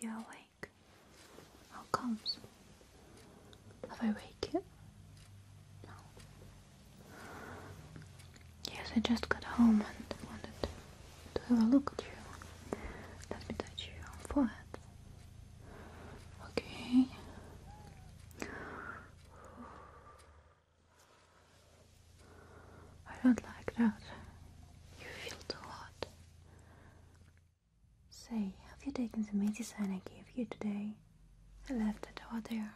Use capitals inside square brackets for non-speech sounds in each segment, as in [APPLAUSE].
You're awake. How comes? Have I waked No. Yes, I just got home and wanted to have a look at you. Let me touch your forehead. Okay. I don't like that. You feel too hot. Say, have you taken the medicine I gave you today? I left it out there.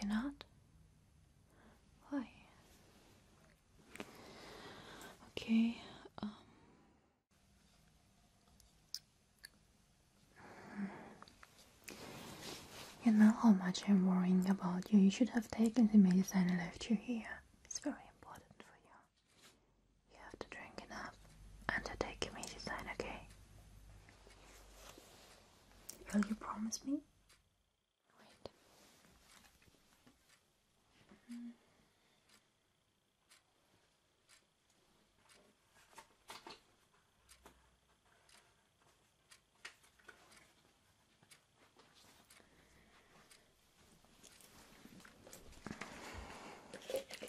You're not? Why? Okay, um. You know how much I'm worrying about you. You should have taken the medicine I left you here. It's very important for you. You have to drink enough and to take a medicine, okay? Will you promise me? Wait. Hmm.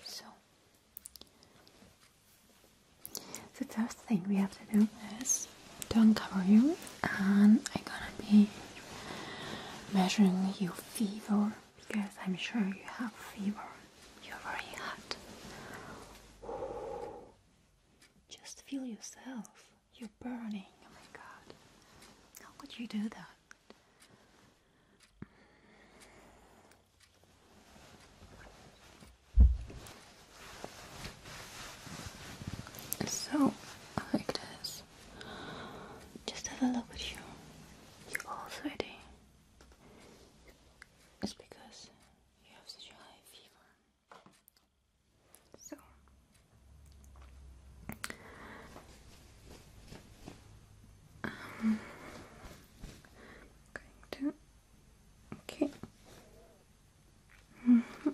So, the first thing we have to do is to uncover you, and I'm gonna be measuring your fever because I'm sure you have fever. You're very hot. Just feel yourself. You're burning. Oh my god. How could you do that? So, like this. Just have a look at you. You're all sweaty. It's because you have such a high fever. So um, going to okay. Mm-hmm.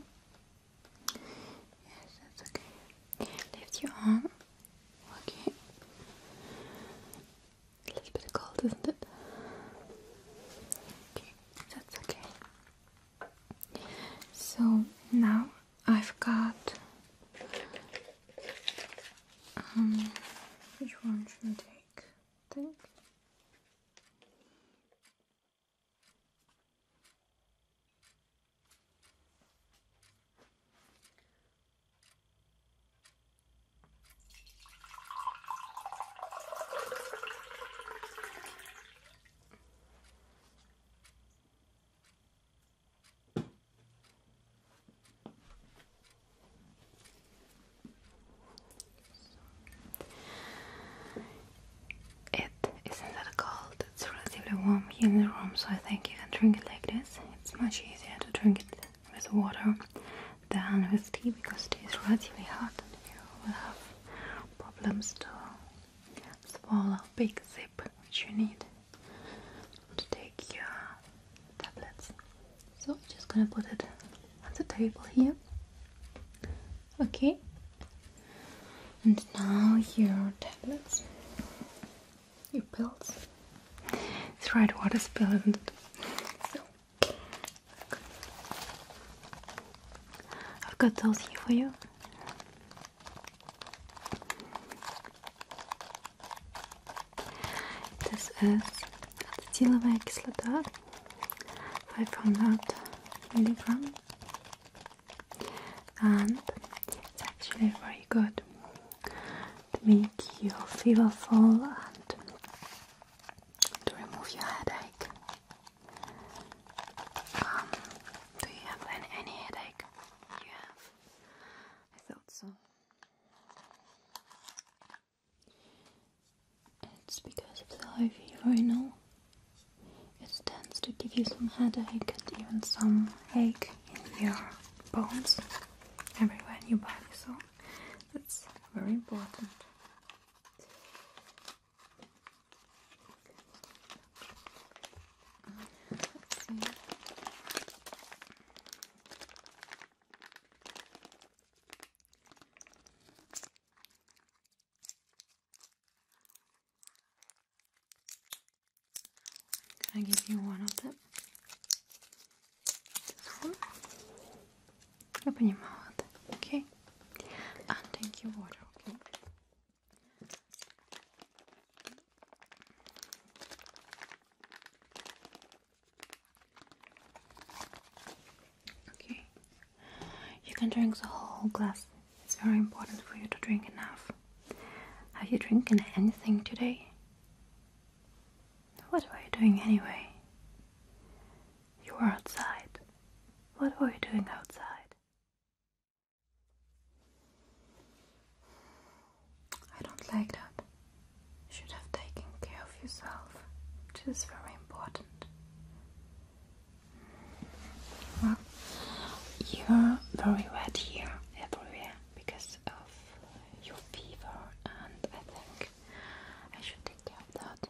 Yes, that's okay. Lift your arm. Okay. A little bit cold, isn't it? Okay, that's okay. So now I've got. Um, which one should I take? think. It isn't that cold, it's relatively warm here in the room, so I think you can drink it like this. It's much easier to drink it with water than with tea because tea is relatively hot and you will have problems to Small, big zip which you need to take your tablets. So I'm just gonna put it on the table here. Okay. And now your tablets, your pills. It's right water spill, isn't it? So I've got those here for you. This is tea ацетиловая кислота, 500 milligram, and it's actually very good to make your fever fall and to remove your headache. Um, do you have any headache? You have? I thought so. It's because of the high fever, Now, It tends to give you some headache and even some ache in your bones, everywhere in your body, so that's very important. Can i give you one of them. This one. Open your mouth, okay? and ah, thank you water, okay? Okay. You can drink the whole glass. It's very important for you to drink enough. Have you drinking anything today? What were you doing anyway? You were outside. What were you doing outside? I don't like that. You should have taken care of yourself, which is very important. Well, you're very wet here, everywhere, because of your fever, and I think I should take care of that.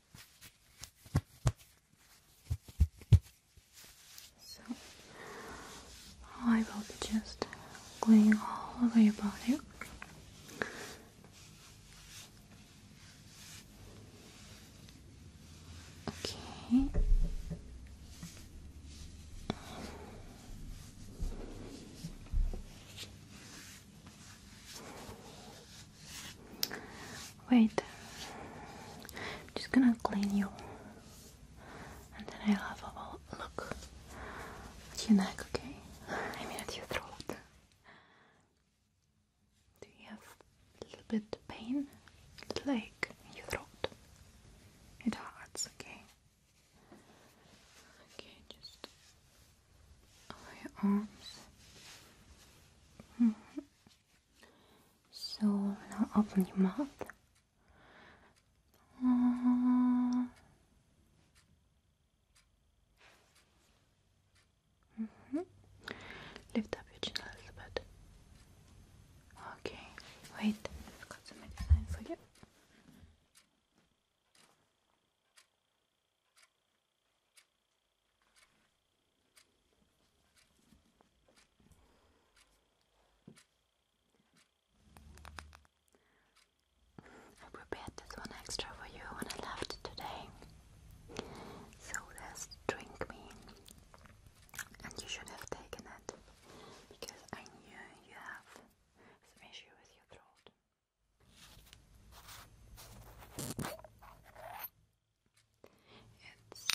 So I will just going all over your body. Okay. Wait, I'm just gonna clean you and then I'll have a look at your neck, okay? I mean at your throat. Do you have a little bit of pain? Like your throat? It hurts, okay? Okay, just of your arms. So now open your mouth. Mm-hmm. Lift up your chin a little bit. Okay, wait, I've got some medicine for you. I prepared this one extra for you when I left today. So there's drink me. And you should have taken it because I knew you have some issue with your throat. It's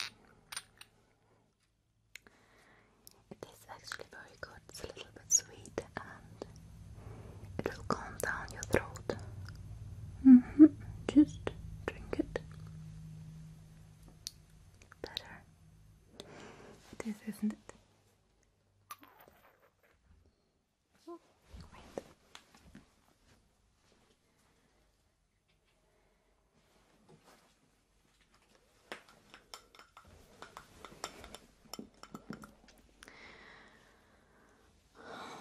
it is actually very good. It's a little bit sweet and it will calm down your throat. -hmm. Just drink it. Better. It is, isn't it? Oh,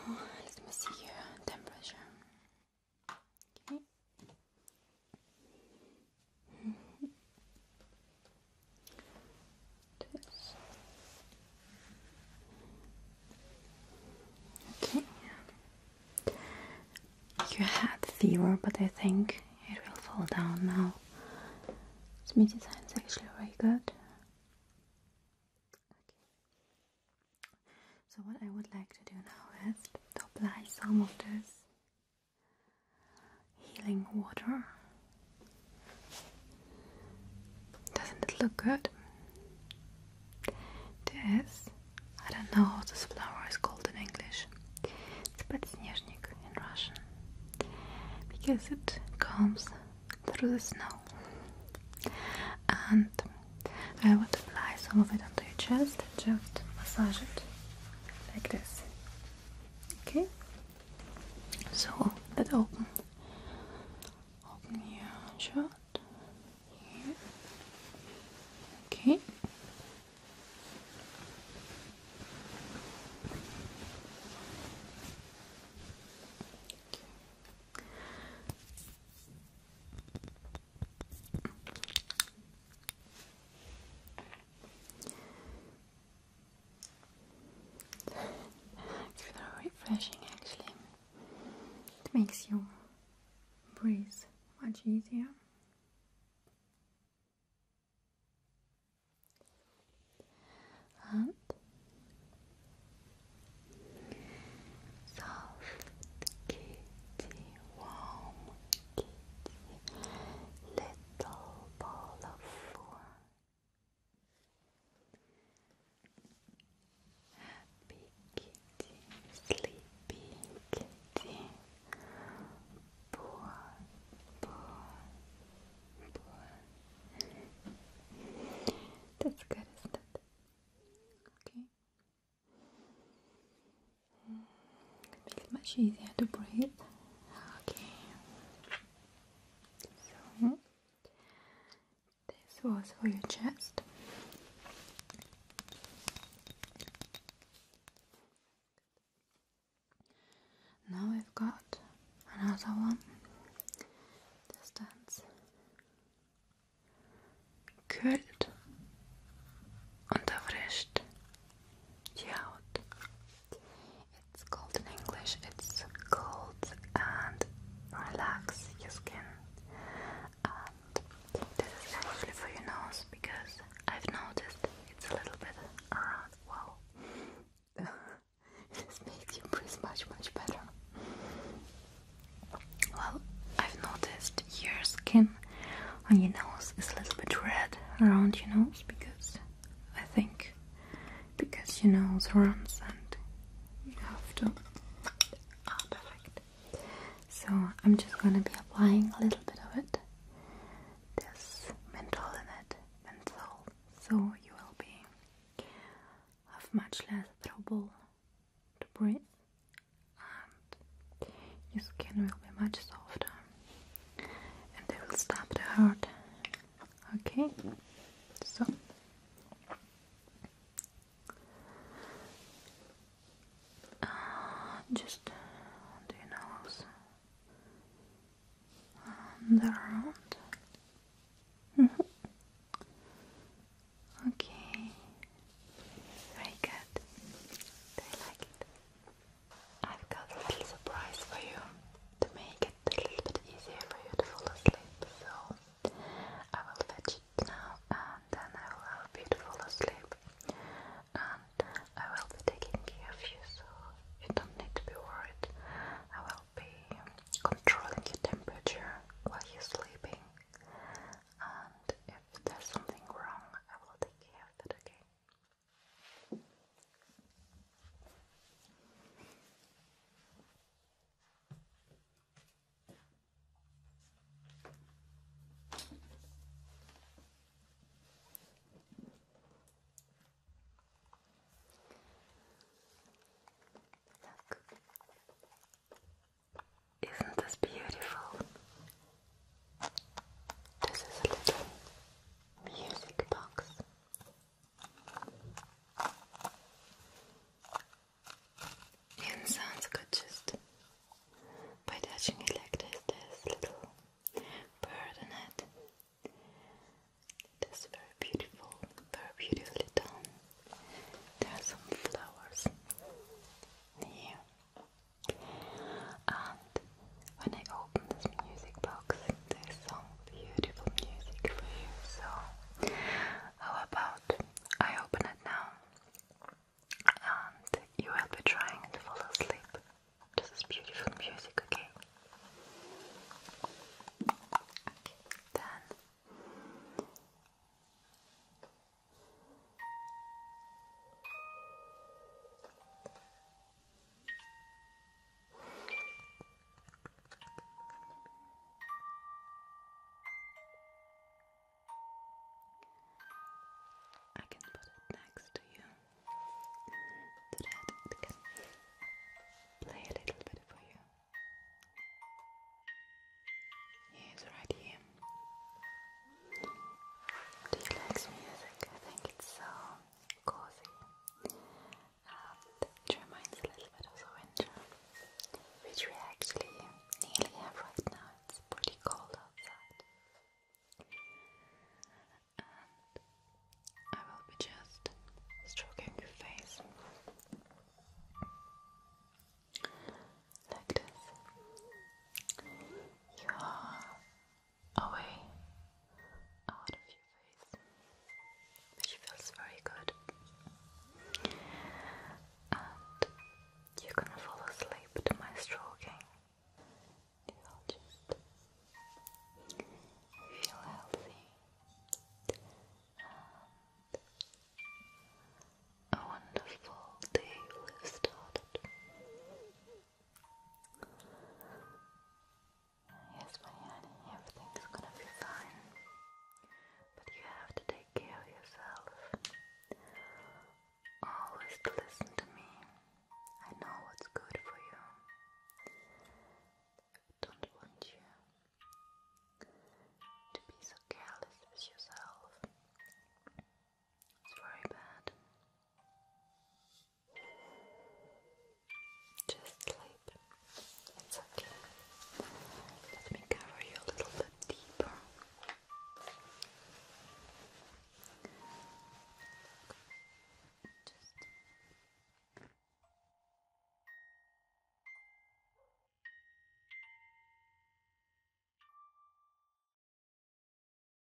let me see your temperature. Okay. Okay. You had fever, but I think it will fall down now. Smith design is actually very good. So what I would like to do now is to apply some of this healing water doesn't it look good? This, I don't know how this flower is called in English. It's подснежник in Russian because it comes through the snow. And I would apply some of it onto your chest, just massage it like this. Okay? So, that open open your shut Okay it's very refreshing actually. It makes you breathe much easier. And soft kitty, warm kitty, little ball of four. Happy kitty, sleepy kitty, poor, poor, That's good, isn't it? Okay. makes it much easier to breathe. Okay. So this was for your chest. Now we've got another one. This stands kühlt und erfrischt die Haut. It's cold in English, it's cold and relax your skin. And this is actually for your nose because I've noticed it's a little bit around. Uh, wow. [LAUGHS] this makes you breathe much, much better. Well, I've noticed your skin on your nose is a little bit red around your nose because I think because your nose runs and you have to. Oh, perfect. So I'm just gonna be applying a little bit of it. There's menthol in it, menthol, so you will be have much less trouble to breathe, and your skin will be much softer, and they will stop to hurt Okay, so uh, just do nose and around. Mm Okay, very good. Do like it? I've got a little surprise for you to make it a little bit easier for you to fall asleep. So I will fetch it now and then I will help you to fall asleep. And I will be taking care of you so you don't need to be worried. I will be controlling your temperature while you're sleeping. And if there's something wrong, I will take care of it, okay? Isn't this beautiful? This is a little music box. And sounds good just by touching it like this. There's little bird It is very beautiful, very beautifully done. There are some flowers here. Um, when I open this music box, there's some beautiful music for you. So, how about I open it now and you will be trying to fall asleep to this beautiful music, okay? Okay, then. I can put it next to you so that play a little bit for you. He's right here. Do you music? I think it's so cozy and it reminds a little bit of the winter which we actually nearly have right now, it's pretty cold outside and I will be just stroking your face like this you away out of your face, which feels very good. And you can fall asleep to my stroking. You'll just feel healthy and a wonderful day will have Yes, my honey, everything's gonna be fine. But you have to take care of yourself. Always listen to me. I know what's good for you. I don't want you to be so careless with yourself. It's very bad. Just sleep. It's okay. Let me cover you a little bit deeper. Just